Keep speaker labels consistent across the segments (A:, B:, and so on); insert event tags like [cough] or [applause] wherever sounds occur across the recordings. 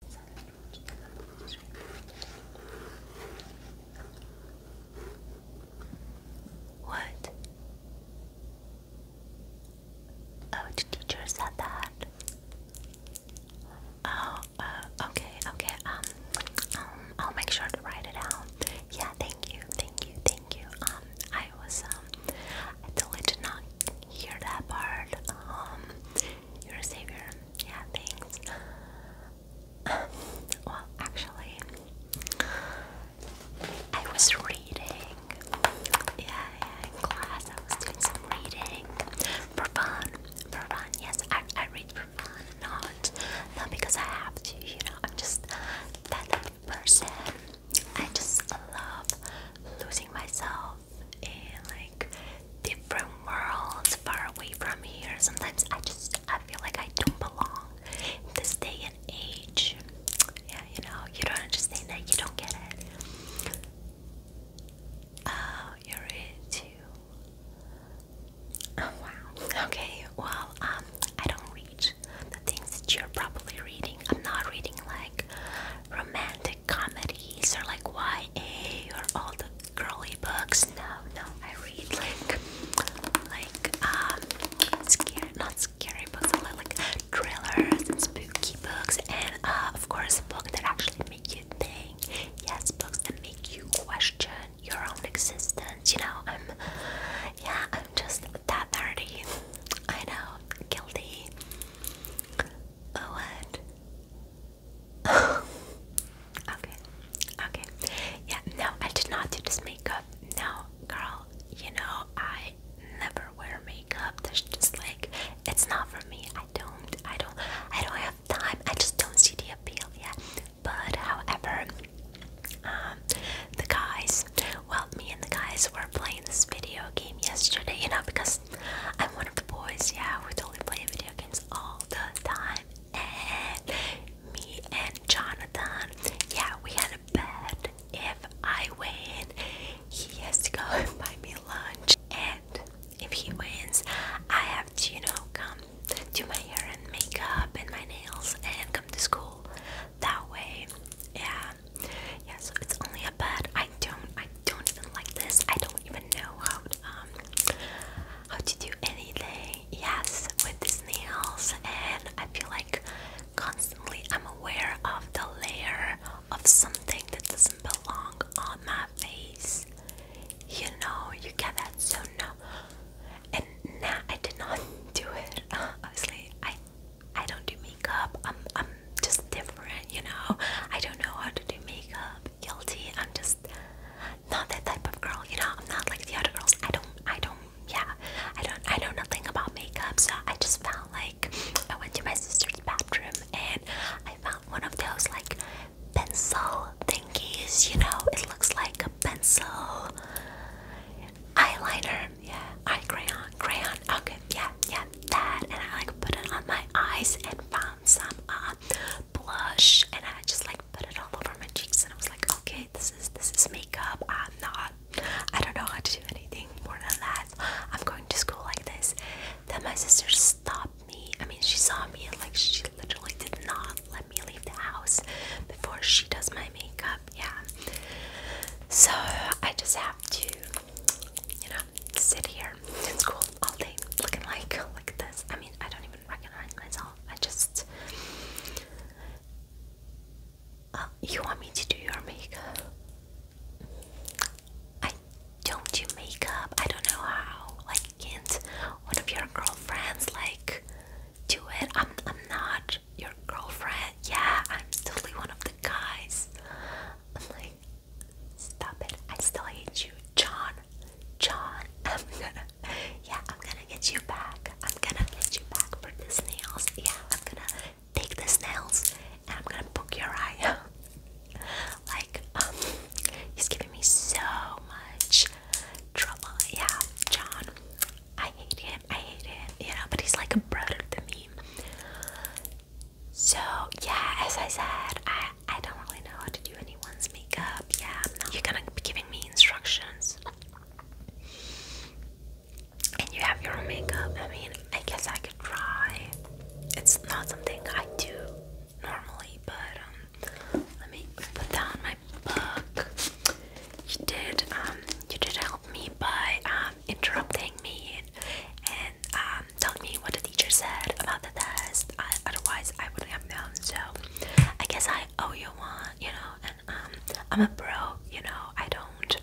A: What? Oh, the teacher said that. Oh, uh, okay, okay. Um, um, I'll make sure to write it down. Yeah, thank you, thank you, thank you. Um, I was um, totally did not hear that part. Um, you savior. Yeah, thanks. [laughs] well, actually, I was reading. Yeah, yeah, in class I was doing some reading for fun. For fun, yes, I, I read for fun, not not because I have to. You know, I'm just that person. I just love losing myself in like different worlds far away from here. Sometimes I just I feel like I don't belong in this day and age. Yeah, you know, you don't understand that, you don't get it. Oh, you're it Oh wow. Okay, well, um, I don't read the things that you're probably reading. I'm not reading like romantic comedies or like YA or all the girly books. No, no, I read like like um scary, not scary books, but like, like thrillers and spooky books, and uh, of course books that actually make you think. Yes, books that make you question your own existence. You know, I'm yeah, I'm just that nerdy. I know, guilty. Oh, what? okay, okay. Yeah, no, I did not do this makeup. No, girl, you know, I never wear makeup. That's just like, it's not for me. I don't, I don't, I don't have time. I just don't see the appeal yet. But however, um, the guys, well, me and the guys were playing this video game yesterday, you know, because I'm one of the boys, yeah, we totally play video games all the time. And me and Jonathan, yeah, we had a bet. If I win, he has to go [laughs] buy me lunch. And if he wins, I have to, you know, come do my hair and makeup and my nails and come to school. That way, yeah, yeah. So it's only a bet. I don't, I don't even like this. I don't even know how um, how to do anything. Yes, with these nails, and I feel like constantly I'm aware of the layer of something that doesn't belong on my face. You know, you get that. So no, and nah, I did not [laughs] do it. [laughs] Obviously, I I don't do makeup. I'm I'm just different. You know, I don't know how to do makeup guilty. I'm just not that type of girl, you know. I'm not like the other girls. I don't. I don't. Yeah. I don't. I know nothing about makeup, so I just found like I went to my sister's bathroom and I found one of those like pencil thingies. You know, it looks like a pencil eyeliner. Yeah, eye crayon, crayon. Okay, yeah, yeah, that. And I like put it on my eyes and found some uh, blush and I just like put it all over my cheeks and I was like okay this is this is makeup I'm not I don't know how to do anything more than that I'm going to school like this then my sister stopped me I mean she saw me and like she literally did not let me leave the house before she does my makeup yeah so I just have to you know sit here in school all day looking like like this. I mean, I don't even recognize myself. I just. Uh, you want me to do your makeup? I don't do makeup. I don't know how. Like, can't one of your girlfriends like do it? I'm I'm not your girlfriend. Yeah, I'm totally one of the guys. I'm like, Stop it. I still hate you. John. John. [laughs] I'm gonna Yeah, I'm gonna get you back. I'm gonna get you back for the snails. Yeah, I'm gonna take the snails and I'm gonna poke your eye out. [laughs] like, um, he's giving me so much trouble. Yeah, John. I hate him. I hate him. You know, but he's like a brother to me. So yeah, as I said, I I, don't really know how to do anyone's makeup. Yeah, you're gonna be giving me instructions. And you have your own makeup. I mean, I guess I could try. It's not something I do normally, but um, let me put down my book. You did, um, you did help me by um, interrupting me and, and uh, um, telling me what the teacher said about the test. otherwise, I wouldn't have known. So, I guess I owe you one, you know. And um, I'm a bro. you know. I don't.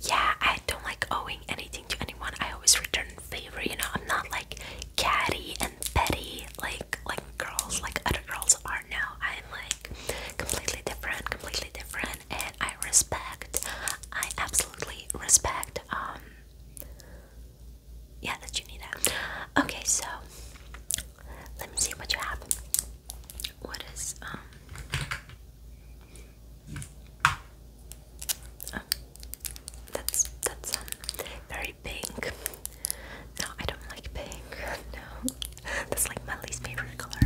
A: Yeah, I don't like owing anything to anyone. I always return favor, you know. I'm not like catty and petty, like like girls, like other girls are now. I'm like completely different, completely different, and I respect. I absolutely respect um yeah, that you need that. Okay, so let me see what you have. What is um? Oh, that's that's um very pink. No, I don't like pink. [laughs] No, that's like my least favorite color.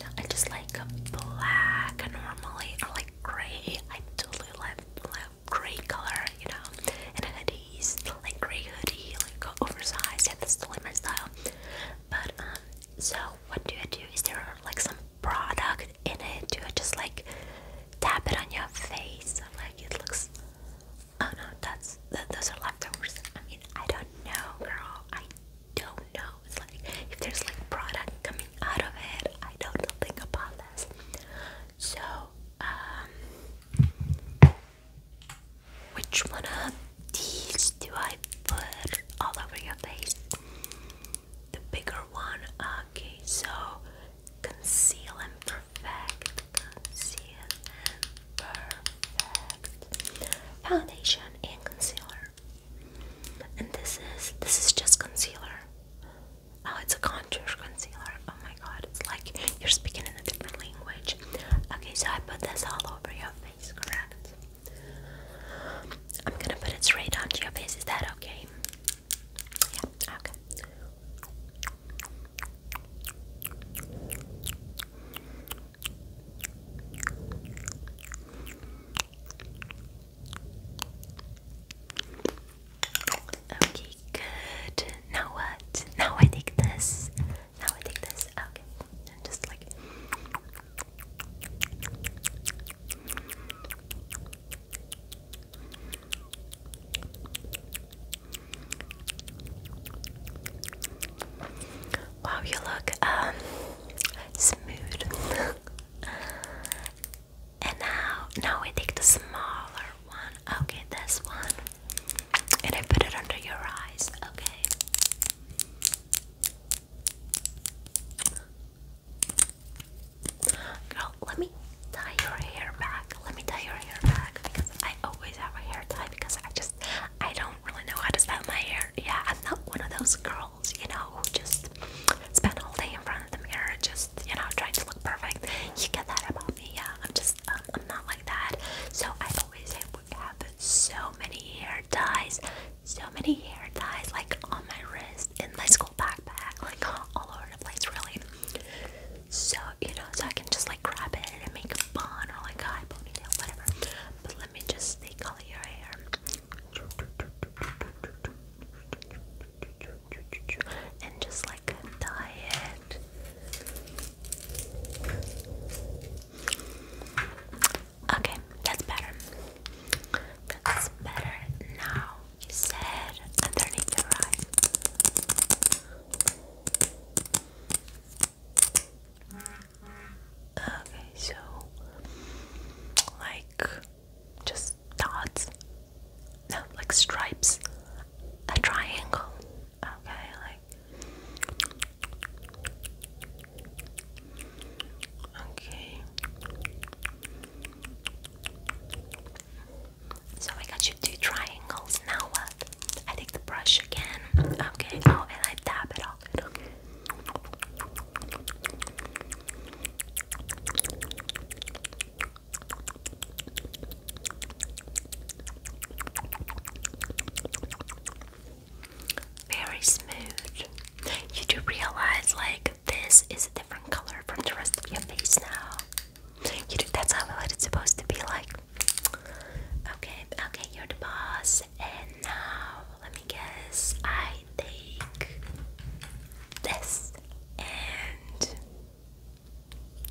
A: No, I just like black normally or like gray. I totally love love grey color, you know, and hoodies, like grey hoodie, like oversized, yeah, that's totally style. But, um, so what do I do? Is there like some product in it? Do I just like tap it on your face? I'm like it looks. Oh no, that's those are leftovers. I mean, I don't know, girl. I don't know. It's like if there's like product coming out of it, I don't about this. So, um, which one of these do I put all over your face? The bigger one. Okay, so conceal and perfect. Conceal and perfect. Foundation and concealer. And this is this is just concealer. Oh, it's a contour concealer. Oh my god, it's like you're speaking in a different language. Okay, so I put this all over your face, correct? I'm gonna put it straight onto your face. Is that okay? Yeah, okay. Okay, good. Now what? Now I take this. Now I take this. Okay. And just like Wow, you look um smooth. [laughs] And now, now we take the smaller one. Okay, this one. And I put it under your eyes. Okay. Girl, let me tie your hair back. Let me tie your hair back because I always have a hair tie because I just I don't really know how to style my hair. Yeah, I'm not one of those girls, you know, who just spend all day in front of the mirror just you know, trying to look perfect. You get that about me, yeah. I'm just, uh, I'm not like that. So I always have, have so many hair ties, so many hair ties, like on my wrist, in my school backpack, like all over the place, really. So you know, so I can just like grab it and make a bun or like a high ponytail, whatever. But let me just color your hair and just like a diet. Okay, that's better. That's better now. You said underneath your eye. Okay, so like just dots, no, like stripes, a triangle. Okay, like okay. So I got you two triangles. Now what? I take the brush again. Okay. Oh, I tap it off. Okay. Very smooth. You do realize, like, this is a different color from the rest of your face now. You do, that's how it's supposed to be like. Okay, okay, you're the boss. And now, let me guess, I take this and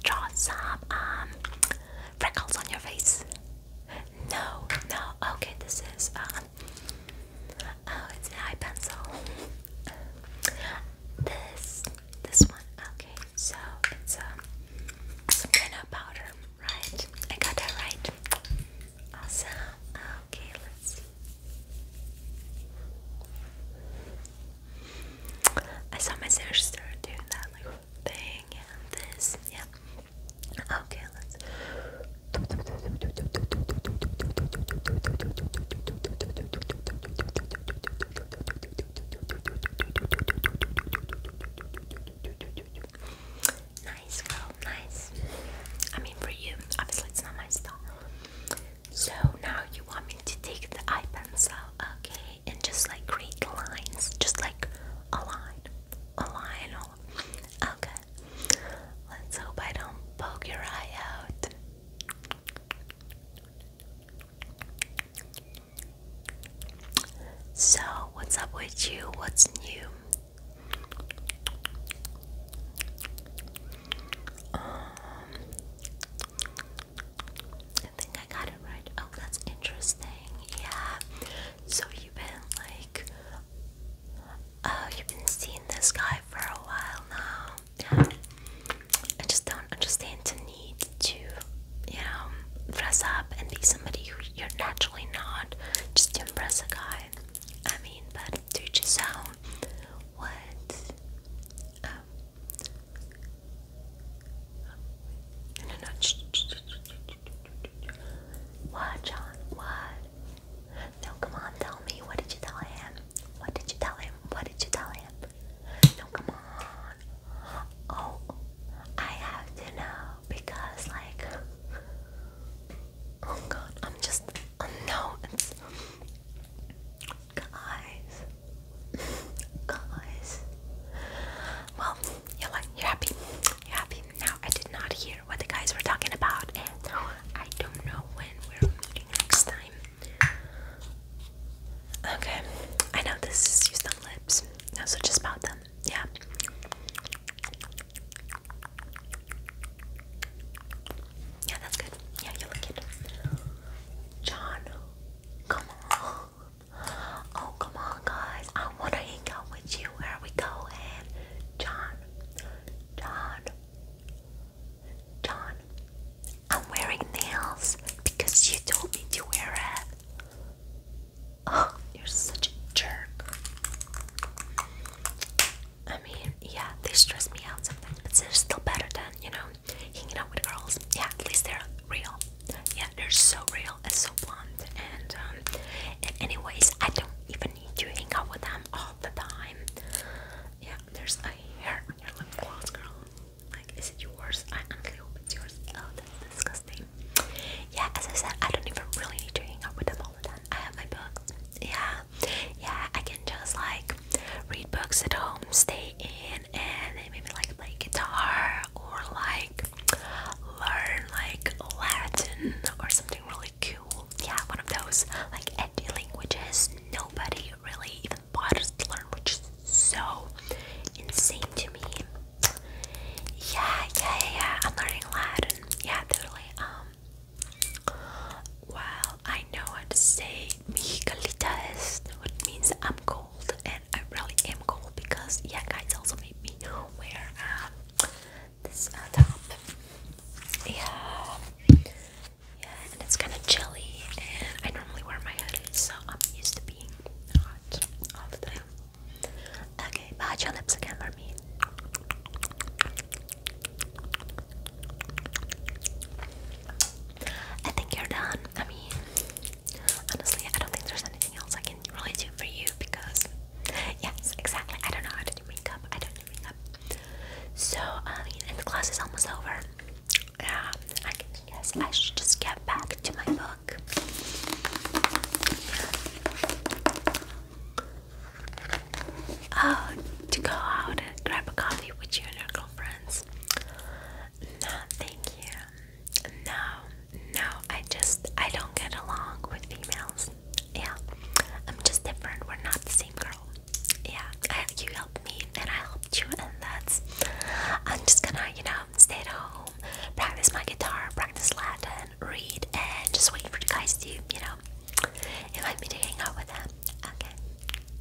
A: draw some um freckles on your face? No, no. Okay, this is uh, oh, it's an eye pencil. This, this one. Okay, so it's um some kind of powder, right? I got that right. Awesome. Okay, let's I saw my sister start doing that like thing and this, yeah. Okay, let's. Nice, well, nice. I mean, for you, obviously, it's not my style. So now you want me to take the eye pencil, okay, and just like create lines, just like a line, a line. Okay, let's hope I don't poke your eye out. So, what's up with you? What's new? Um, I think I got it right. Oh, that's interesting. Yeah. So you've been like, oh, you've been seeing this guy for a while now. I just don't understand the need to, you know, dress up and be somebody who you're naturally not just to impress a guy. I mean, but to each what no no what John what no come on tell me what did you tell him what did you tell him what did you tell him no come on oh I have to know because like oh god I'm just oh no guys, guys. [laughs] Well, you're like you're happy, you're happy. Now I did not hear what the guys were talking about, and I don't know when we're meeting next time. Okay, I know this is used lips, so just about them, yeah. Yeah, that's good. Yeah, you look good. John, come on. Oh, come on, guys. I want to hang out with you. Where are we going? John, John, John. I'm wearing nails because you told me to wear it. Oh, you're such a jerk. I mean, yeah, they stress me out sometimes, but they're still better than, you know, hanging out with girls. Yeah, at least they're real. Yeah, they're so real and so blunt. Um, and, anyways, I don't even need to hang out with them all the time. Yeah, there's a hair on your lip gloss, girl. Like, is it yours? I honestly hope it's yours. Oh, that's disgusting. Yeah, as I said, I don't even really need to hang out with them all the time. I have my books. Yeah, yeah, I can just like read books at home, stay in, and maybe like play guitar or like learn like Latin or something really cool. Yeah, one of those like edgy languages nobody really even bothers to learn, which is so insane to me. Yeah, yeah, yeah, yeah. I'm learning Latin. Yeah, totally. Um, wow, I know how to say mi es, which means I'm cold, and I really am cold because yeah, guys also made me wear um, this uh, top. Yeah, yeah, and it's kind of chilly, and I normally wear my hoodie, so I'm used to being hot all the time. Okay, bad your lips again for me. I think you're done. I mean, honestly, I don't think there's anything else I can really do for you because, yes, exactly. I don't know how to do makeup. I don't do makeup. So, I mean, and the class is almost over. Yeah, I guess I should just get back to my book. Oh, to go out and grab a coffee with you and your girlfriends. No, thank you. No, no, I just, I don't get along with females. Yeah, I'm just different. We're not the same girl. Yeah, you helped me and I helped you, and that's. I'm just gonna, you know, stay at home, practice my guitar, practice Latin, read, and just wait for you guys to, you know, invite me to hang out with them. Okay.